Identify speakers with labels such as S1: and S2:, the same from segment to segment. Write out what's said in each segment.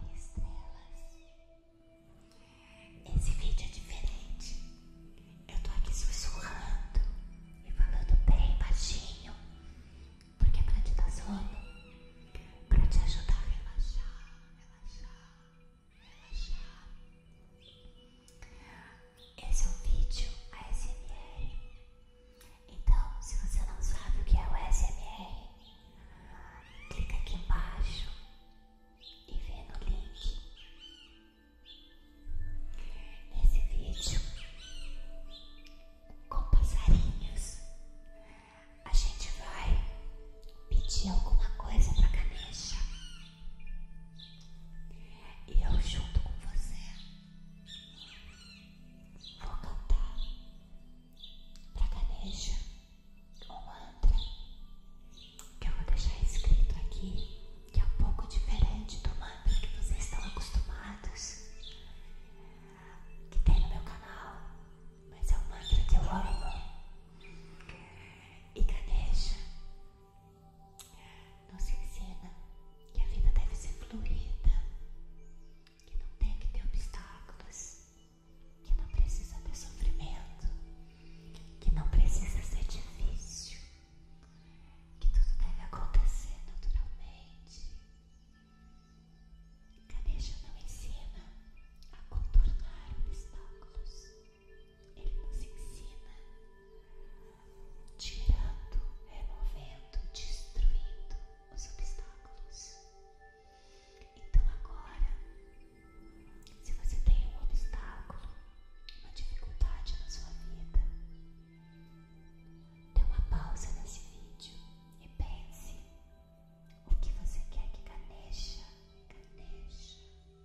S1: Oi, estrelas. Esse vídeo é diferente. Eu tô aqui sussurrando e falando bem baixinho, porque é pra te dar sono, pra te ajudar a relaxar, relaxar, relaxar. Esse é um vídeo ASMR então, se você não sabe o que é o SMR, clica aqui embaixo e vê no link. Nesse vídeo com passarinhos, a gente vai pedir alguma coisa pra Ganesha e eu junto com você vou cantar para Ganesha um mantra que eu vou deixar escrito aqui, que é um pouco diferente do mantra que vocês estão acostumados, que tem no meu canal, mas é um mantra que eu amo. E Ganesha nos ensina que a vida deve ser fluida, que não tem que ter obstáculos, que não precisa ter sofrimento, que não precisa ser difícil, que tudo deve acontecer naturalmente. Ganesha não ensina a contornar obstáculos, ele nos ensina tirando, removendo, destruindo os obstáculos. Então agora, se você tem um obstáculo, uma dificuldade na sua vida, dê uma pausa nesse vídeo e pense o que você quer que caneja, caneja,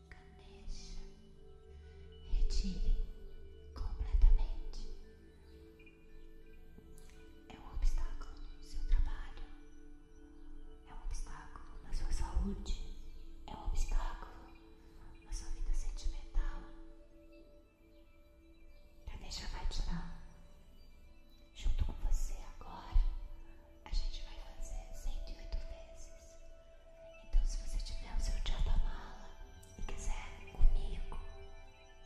S1: caneja, retire completamente é um obstáculo no seu trabalho, é um obstáculo na sua saúde, é um obstáculo na sua vida sentimental. A deixa vai tirar. Junto com você agora, a gente vai fazer 108 vezes. Então, se você tiver o seu diabo mala e quiser comigo,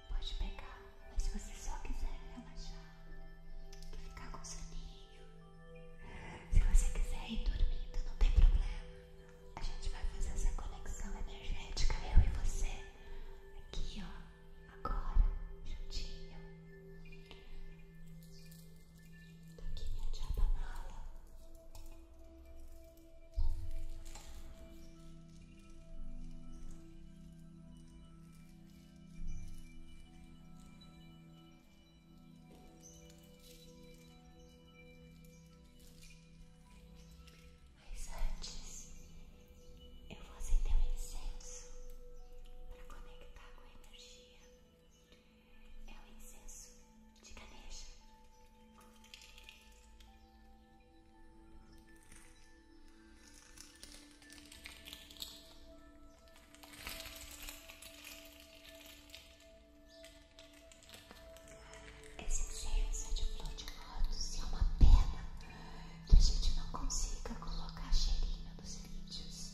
S1: Pode pegar, mas se você só quiser relaxar e ficar com soninho, se você quiser ir dormindo, não tem problema. A gente vai fazer essa conexão energética, eu e você, aqui ó, agora, juntinho. Tô aqui minha chapa mala. Mas antes, eu vou acender um incenso para conectar com a energia. É o incenso de Ganesha. Exigência de flor de lótus é uma pena que a gente não consiga colocar cheirinho nos vídeos.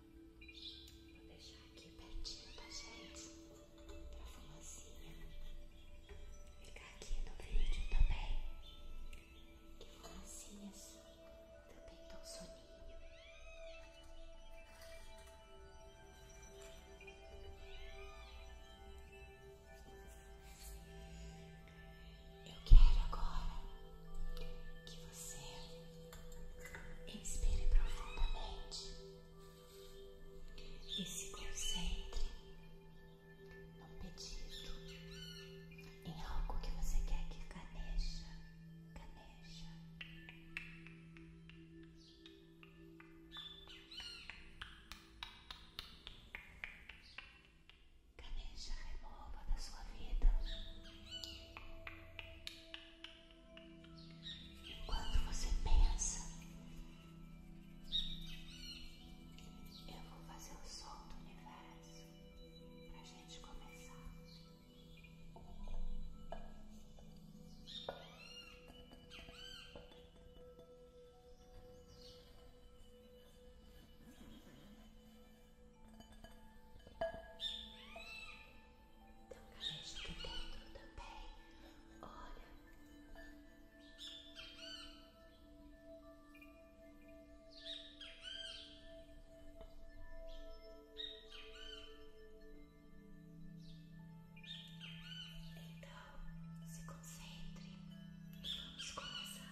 S1: Vou deixar aqui pertinho da gente pra fumacinha ficar aqui no vídeo também. Que fumacinhas também dão soninho. Eu quero agora que você Inspire profundamente e se concentre no pedido, em algo que você quer que caneja, caneja. Caneja remova da sua vida. Quando você pensa, eu vou fazer o sol do universo para a gente começar. Então um caminho dentro também. Olha. Então, se concentre e vamos começar.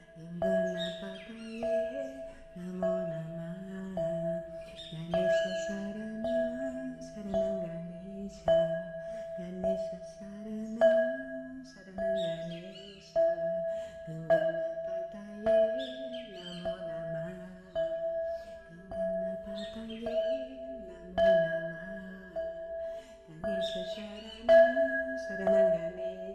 S1: Bernapa baik namun nama Ganesha sarana sarana Ganesha Ganesha sarana sarana Ganesha Bernapa baik namun nama Bernapa baik namun nama Ganesha sarana sarana Ganesha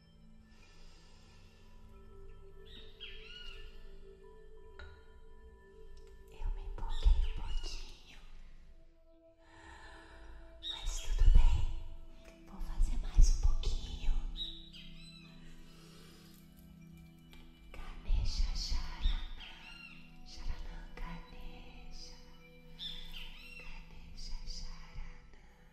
S1: Eu me empolguei um pouquinho, mas tudo bem, vou fazer mais um pouquinho. Ganesha Sharana, Sharana Ganesha, Ganesha Sharana.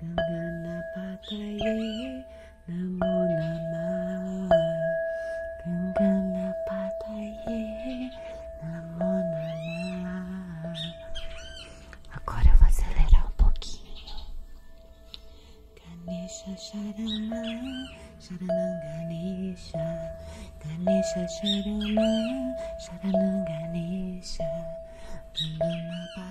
S1: Ganganapataye Namo Namah Ganganapataye Namo Namah Agora eu vou acelerar um pouquinho Ganesha Sharama Sharanam Ganesha Ganesha Sharama Sharanam Ganesha Ganganapataye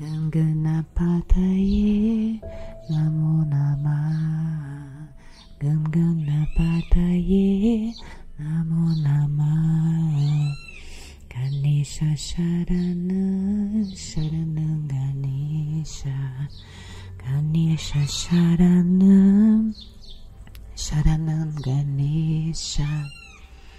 S1: Ganganapataye Namo Nama Ganganapataye Namo Nama Ganesha Sharana Sharana Ganesha Ganesha Sharana Sharanam Ganesha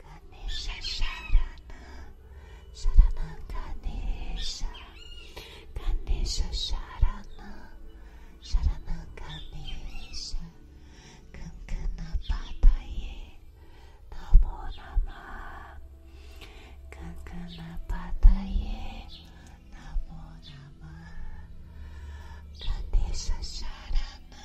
S1: Ganesha Sharana Sharana Ganesha Ganesha Sharana Sharana Ganesha Kankana Namo Nama Kankana Namo Nama Ganesha Sharana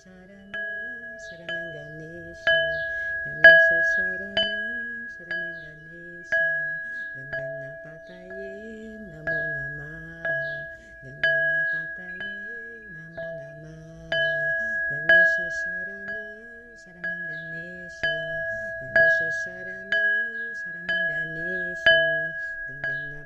S1: sarana sarana Ganesha Ganesha sarana sarana Ganesha Gangana pataye namo nama Gangana pataye namo nama Ganesha sarana sarana Ganesha Ganesha sarana sarana Ganesha Gangana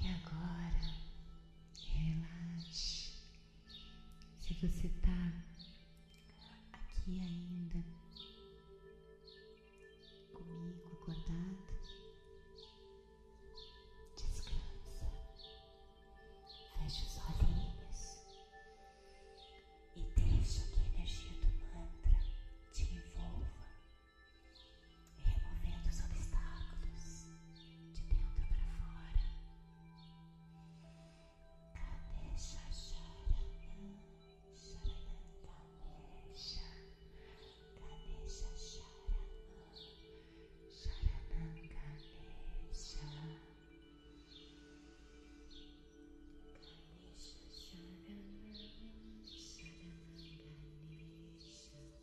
S1: E agora, relaxe. Se você está aqui ainda comigo acordado, descansa, fecha os olhinhos e deixa que a energia do mantra te envolva removendo os obstáculos de dentro para fora. Kadesh Charanam, Charanam Kadesh, Kadesh Charanam, Charanam Kadesh, Kadesh Charanam, Charanam Kadesh.